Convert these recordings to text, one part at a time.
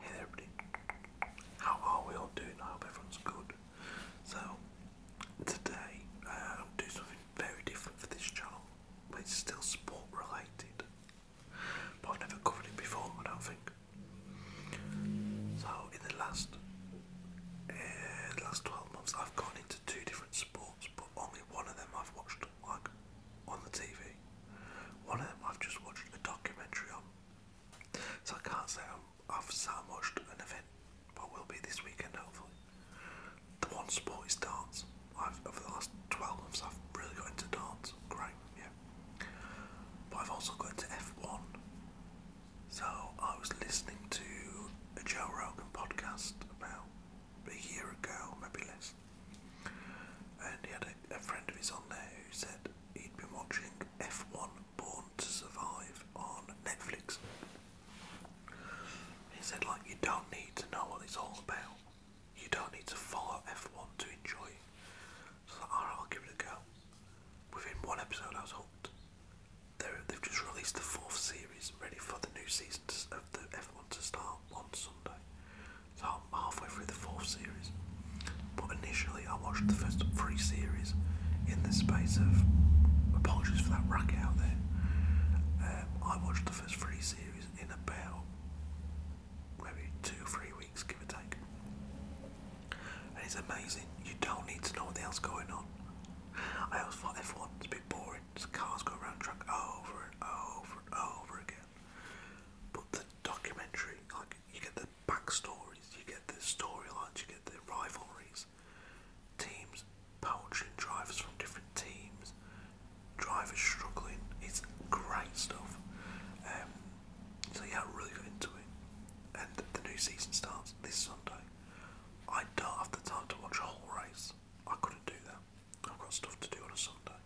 Hey everybody, how are we all doing? I hope everyone's good. So, today uh, I'm doing something very different for this channel, but it's still sport related. But I've never covered it before, I don't think. So in the last eh, last 12 months, I've gone into two different sports, but only one of them I've watched like on the TV. One of them I've just watched a documentary on. So I can't say i have sat and watched an event, but will be this weekend hopefully. The one sport is dance. I've over the last 12 months I've really got into dance. Great, yeah. But I've also got into F1. So I was listening to a Joe Rogan podcast about a year ago, maybe less, and he had a, friend of his on there who said he'd been watching F1 Born to Survive on Netflix. He said, like, you don't need to know what it's all about. You don't need to follow F1 to enjoy it. So I will give it a go. Within one episode, I was hooked. they have just released the fourth series, ready for the new season to, of the F1 to start on Sunday. So I'm halfway through the fourth series. But initially, I watched the first three series in the space of. Apologies for that racket out there. Um, I watched the first three series in about maybe two three weeks give or take. And it's amazing, you don't need to know what the hell's going on. I always thought F1 was a boring, just cars go around track over and over and over again. But the documentary, like you get the backstories, you get the storylines, you get the rivalries, teams poaching drivers from different teams, drivers struggling. It's great stuff. Um, so yeah, I really got into it. And the new season starts this Sunday. I don't have the time to watch a whole race. I couldn't do that. I've got stuff to do on a Sunday.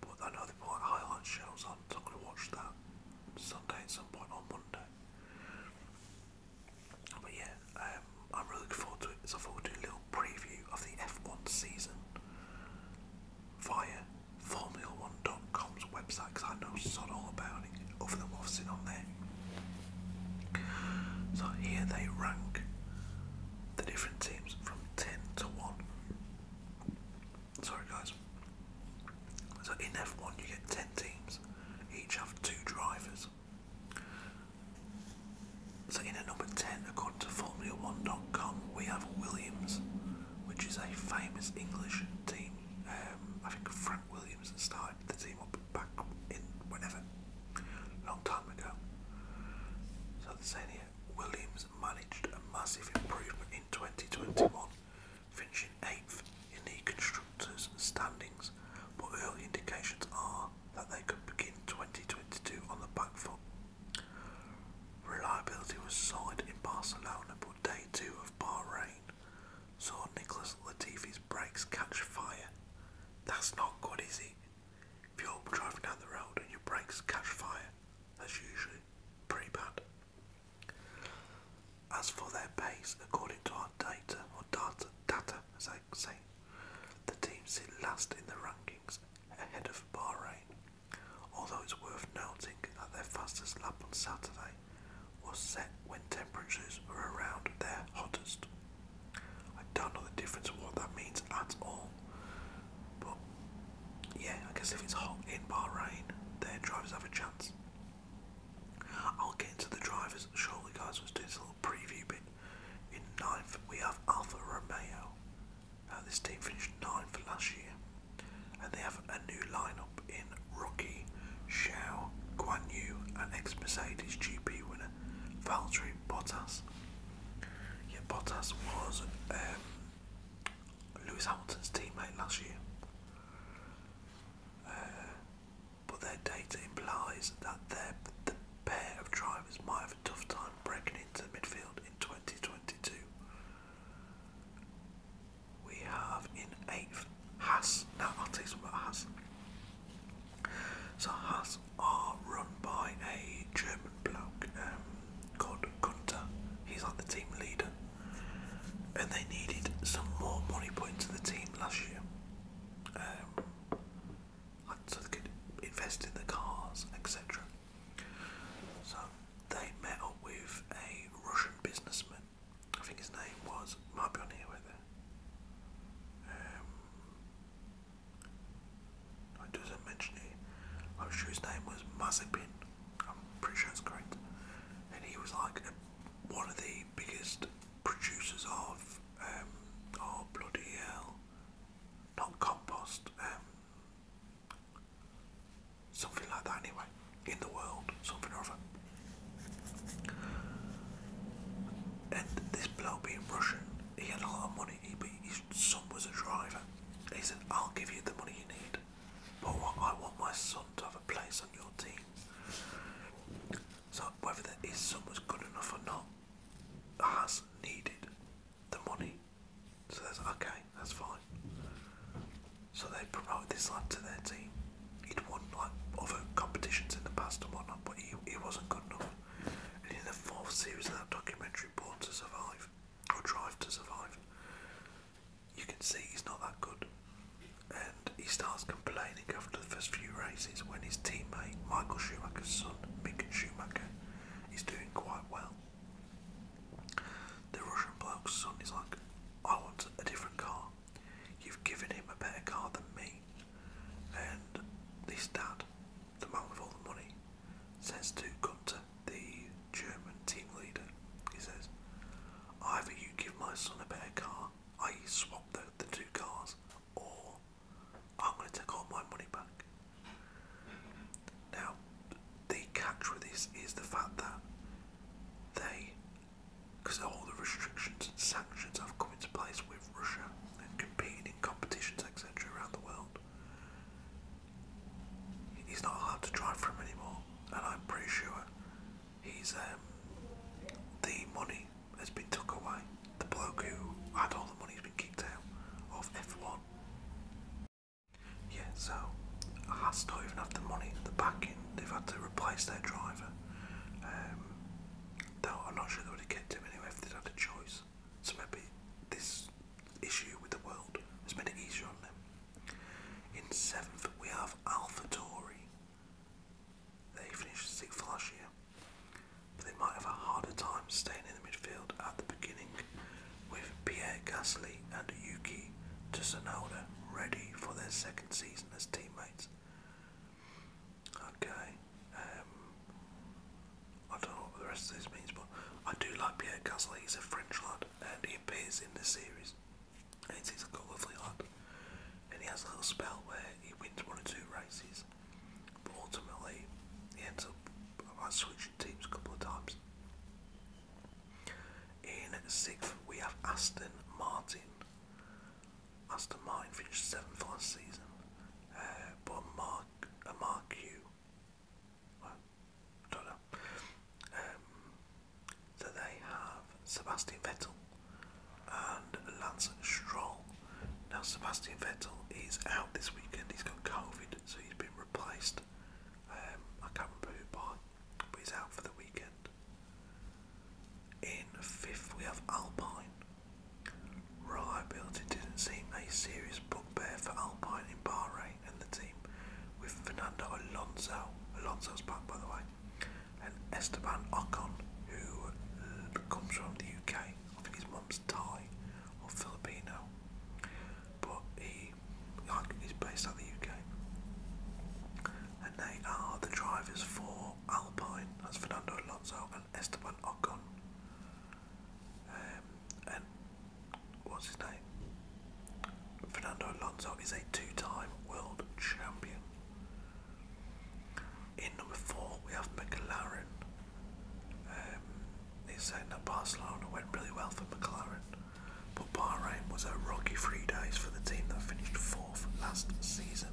But I know they put like highlight shows on, so I'm going to watch that Sunday at some point on Monday. But yeah, um, I'm really looking forward to it. So I thought we'd do a little preview of the F1 season via Formula1.com's website because I know sod all about it other than what on there. So here they rank the different teams from 10 to 1. Sorry guys. So in F1 you get 10 teams, each have two drivers. So in a number 10 according to Formula1.com we have Williams which is a famous English team. Um, I think Frank Williams started the team up back in whenever, long time ago. So the are here, Williams managed a massive improvement in 2021, finishing eighth in the constructors' standings. But early indications are that they could begin 2022 on the back foot. Reliability was solid in Barcelona, but day two of Bahrain saw Nicholas Latifi's brakes catch fire. That's not good, is it? If you're driving down the road and your brakes catch fire, that's usually pretty bad. As for their pace, according to our data, or data, data as I say, the team sit last in the rankings, ahead of Bahrain, although it's worth noting that their fastest lap on Saturday was set when temperatures were around their hottest. I don't know the difference of what that means at all, but yeah, I guess if it's hot in Bahrain, their drivers have a chance. I'll get into the drivers shortly, guys. Let's do this little preview bit. In ninth, we have Alfa Romeo. Uh, this team finished ninth last year, and they have a new lineup in Rocky, Xiao, Guan Yu, and ex Mercedes GP winner Valtteri Bottas. Yeah, Bottas was um, Lewis Hamilton's teammate last year. Uh, but their data implies that their, the pair of drivers might have a tough time breaking into the midfield in 2022. We have in eighth Haas. Now I'll tell you about Haas. So Haas are run by a German bloke um, called Gunter. He's like the team leader. And they needed some more money put into the team last year. Um, so they could invest in the cars, etc. So they met up with a Russian businessman. I think his name was might be on here with it. doesn't mention it. I'm sure his name was Mazepin. I'm pretty sure it's correct. And he was like one of the biggest producers of um, oh, bloody hell, not compost. Um, Something like that, anyway, in the world, something or other. And this bloke being Russian, he had a lot of money. He, his son was a driver. He said, I'll give you the money you need, but I want my son to have a place on your team. So, whether his son was good enough or not, has needed the money. So that's okay, that's fine. So they promoted this lad to their team. He'd won like other competitions in the past and whatnot, but he, he wasn't good enough. And in the fourth series of that documentary, Born to Survive, or Drive to Survive, you can see he's not that good. And he starts complaining after the first few races when his teammate, Michael Schumacher's son, Mick Schumacher, is doing quite well. The Russian bloke's son is like, I want a different car. You've given him a better car than me. And this dad, the man with all the money, says to Gunther, the German team leader, he says, either you give my son a better car, i.e. swap the, the two cars, or I'm going to take all my money back. Now, the catch with this is the fact that they, because all the restrictions and sanctions have come into place with Russia and competing in competitions, etc., around the world, he's not allowed to drive for him anymore. And I'm pretty sure he's, um, the money has been took away. The bloke who had all the money has been kicked out of F1. Yeah, so Haas don't even have the money, the backing. They've had to replace their driver. Um, I'm not sure they would have kept him anyway if they'd had a choice. So maybe this issue with the world has made it easier on them. In seventh, we have AlphaTauri. They finished sixth last year, but they might have a harder time staying in the midfield at the beginning with Pierre Gasly and Yuki Tsunoda ready for their second season as teammates. Okay, um, I don't know what the rest of this means, but I do like Pierre Gasly. He's a French lad, and he appears in this series. And he's a lovely lad, and he has a little spell where he wins one or two races, but ultimately he ends up teams a couple of times. In sixth, we have Aston Martin. Aston Martin finished seventh last season, uh, but Mark a Mark Q. I don't know. Um, so they have Sebastian Vettel and Lance Stroll. Now Sebastian Vettel is out this weekend. He's got COVID, so he's been replaced last. Um, I can't remember who by, but he's out for the weekend. In fifth, we have Alpine. Reliability didn't seem a serious bugbear for Alpine in Bahrain and the team, with Fernando Alonso, Alonso's back by the way, and Esteban Ocon, who uh, comes from the UK. I think his mum's Thai or Filipino but he is based out the UK. And they are the drivers for Alpine, that's Fernando Alonso and Esteban Ocon. Um, and what's his name? Fernando Alonso is a two time world champion. In number four, we have McLaren, um, his that Barcelona went really well for McLaren, but Bahrain was a rocky three days for the team that finished fourth last season.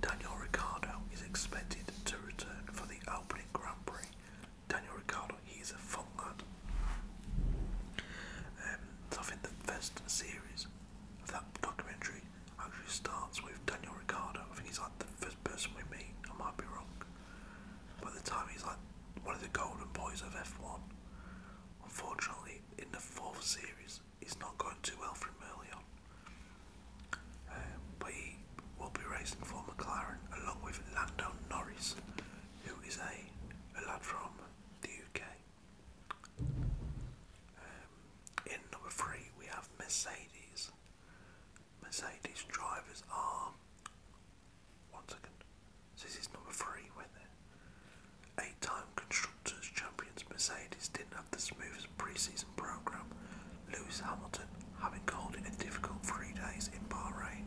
Daniel Ricciardo is expected to return for the opening Grand Prix. Daniel Ricciardo, he's a fun lad. Um, so I think the first series of that documentary actually starts with Daniel Ricciardo. I think he's like the first person we meet. I might be wrong. By the time he's like one of the golden boys of F1. Unfortunately, in the fourth series, he's not going too well for him early on. Um, but he will be racing for McLaren along with Lando Norris, who is a, a lad from the UK. Um, in number three, we have Mercedes. Mercedes drivers are. One second. So this is number three, when there. Eight time Constructors Champions Mercedes didn't have the smoothest pre season programme, Lewis Hamilton having called it a difficult three days in Bahrain,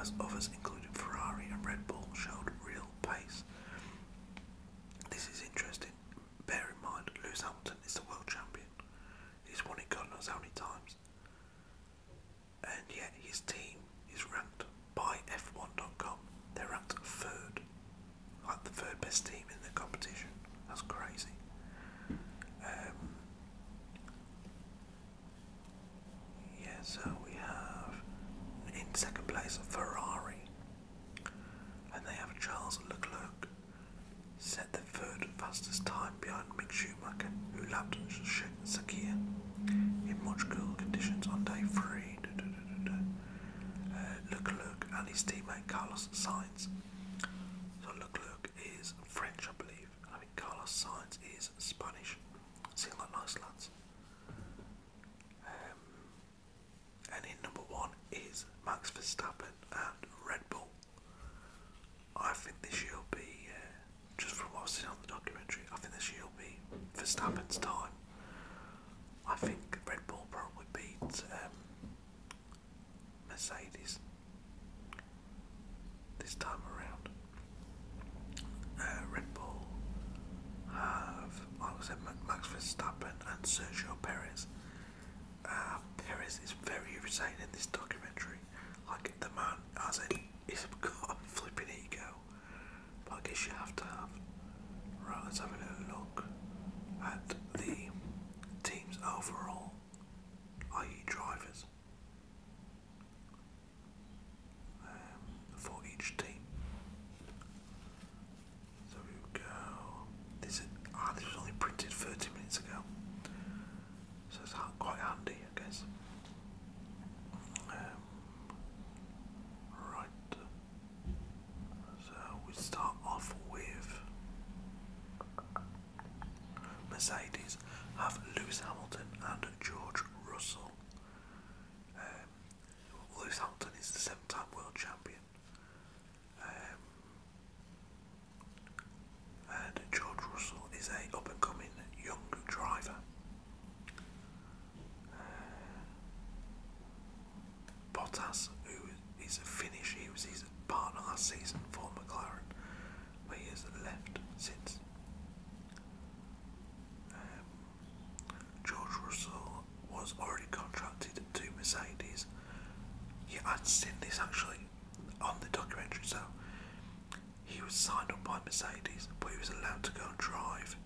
as others, including Ferrari and Red Bull, showed real pace. This is interesting. Bear in mind, Lewis Hamilton is the world champion. He's won it God knows how many times and yet his team is ranked by F1.com. They're ranked third, like the third best team in the competition. That's crazy. Um, yeah, so we have in second place a Ferrari, and they have Charles Leclerc set the third fastest time behind Mick Schumacher, who lapped Sakia in much cooler conditions on day three. Uh, Leclerc and his teammate Carlos Sainz. So Leclerc is French, I believe. I think Carlos Sainz is Spanish. Seem like nice lads. Um, and in number one is Max Verstappen and Red Bull. I think this year will be, uh, just from what i was seen on the documentary, I think this year will be Verstappen's time. I think Red Bull probably beat um, Mercedes this time around. Uh, Red Bull have, like I said, Max Verstappen and Sergio Perez Paris um, is very irritating in this documentary. Like the man as it, he's got a flipping ego. But I guess you have to have. Right, let's have a little look at the team's overall, i.e. drivers, um, for each team. So we go this is, ah, this was only printed 30 minutes ago, so it's quite handy, I guess. Um, right, so we start off with Mercedes have Lewis Hamilton and George Russell. Um, Lewis Hamilton is the seven-time world champion. Um, and George Russell is a up and coming young driver. Uh, Bottas, who is a finisher, he was his partner last season for McLaren, but he has left since. Um, George Russell was already contracted to Mercedes. Yeah, I'd seen this actually on the documentary so he was signed up by Mercedes, but he was allowed to go and drive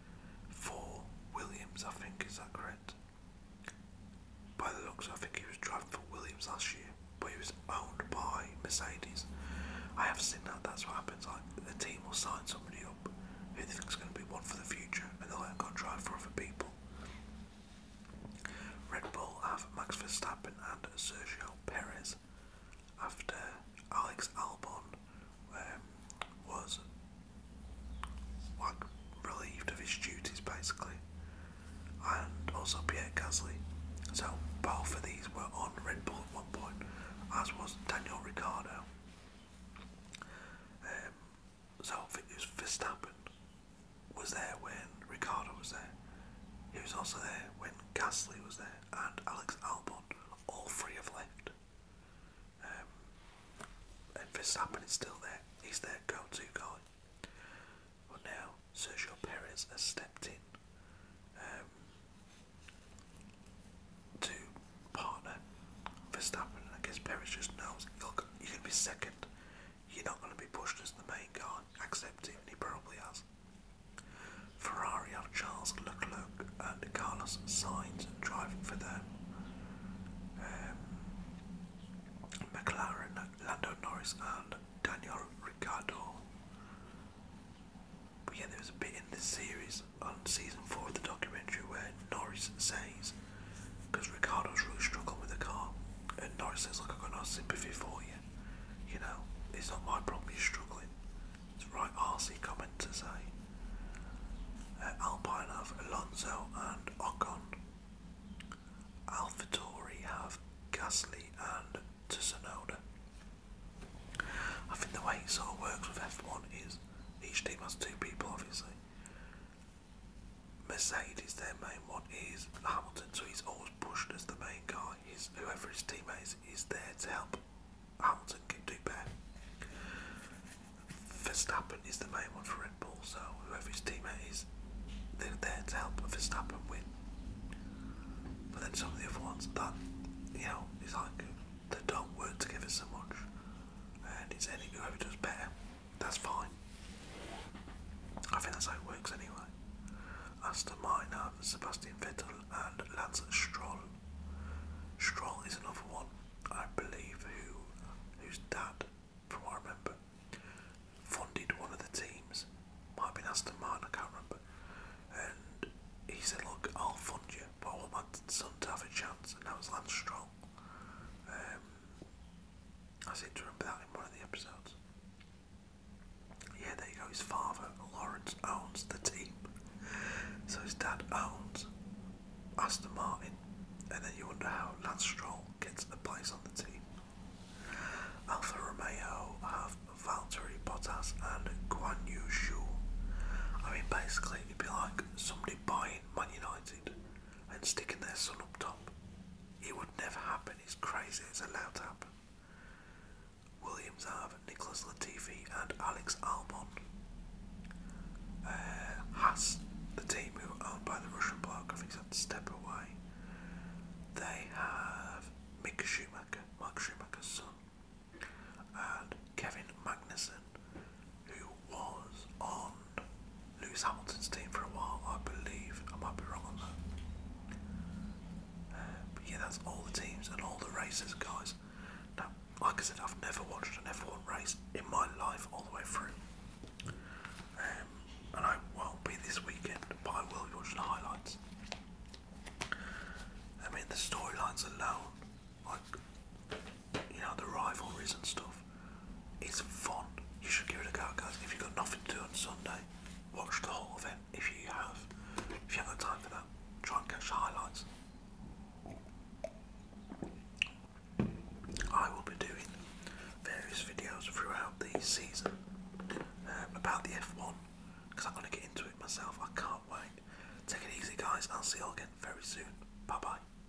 for Williams, I think, is that correct? By the looks, I think he was driving for Williams last year, but he was owned by Mercedes. I have seen that, that's what happens. Like, the team will sign somebody up who they think is going to be one for the future, and they'll let them drive for other people. Red Bull have Max Verstappen and Sergio Perez after Alex Albon um, was like relieved of his duties basically and also Pierre Gasly. So both of these were on Red Bull at one point, as was Daniel Ricciardo. Um, his outfit is Verstappen was there when Ricardo was there. He was also there when Gasly was there and Alex Albon. All three have left. Um, and Verstappen is still there. He's their go-to guy. But now Sergio Perez has stepped in um, to partner Verstappen. I guess Perez just knows you're going to be second you're not going to be pushed as the main guy. Accept it, he probably has. Ferrari have Charles Leclerc and Carlos Sainz driving for them. Um, McLaren, Lando Norris and Daniel Ricciardo. But yeah, there was a bit in this series on season 4 of the documentary where Norris says because Ricardo's really struggled with the car, and Norris says, "Look, I've got no sympathy for you. You know, it's not my problem. You're struggling." It's right RC comment to say. Uh, Alpine have Alonso and Ocon. AlphaTauri have Gasly and Tsunoda. I think the way it sort of works with F1 is each team has two people, obviously, Mercedes, their main one, is Hamilton, so he's always pushed as the main guy. He's, whoever his teammates is, is there to help Hamilton get do better. Verstappen is the main one for Red Bull, so whoever his teammate is, they're there to help Verstappen win. But then some of the other ones that, you know, it's like they don't work together so much, and it's any ever does better. That's fine. I think that's how it works anyway. Aston Martin have Sebastian Vettel and Lance Stroll. Stroll is another one, I believe, who whose dad, from what I remember, funded one of the teams. Might have been Aston Martin, I can't remember. And he said, Look, I'll fund you, but I want my son to have a chance. And that was Lance Stroll. Um, I seem to remember that in one of the episodes. Yeah, there you go. His father, Lawrence, owns the team. So his dad owns Aston Martin. And then you wonder how Lance Stroll gets a place on the team. Alfa Romeo have Valtteri Bottas and Guanyu Yu I mean, basically, it'd be like somebody buying Man United and sticking their son up top. It would never happen, it's crazy, it's allowed to happen. Williams have Nicholas Latifi and Alex Albon. Uh, the team who are owned by the Russian bloc, I think had to step away. They have Mick Schumacher, Mark Schumacher's son, and Kevin Magnussen, who was on Lewis Hamilton's team for a while, I believe. I might be wrong on that. Um, but yeah, that's all the teams and all the races, guys. Now, like I said, I've never watched an F1 race in my life all the way through. Um, and I won't be this weekend, but I will be the highlights. I mean, the storylines alone, like, you know, the rivalries and stuff. It's fun. You should give it a go, guys. If you've got nothing to do on Sunday, watch the whole event. If you have, if you have the time for that, try and catch the highlights. I will be doing various videos throughout the season um, about the F1 because I'm going to get into it myself. I can't wait. Take it easy, guys. I'll see you all again very soon. Bye bye.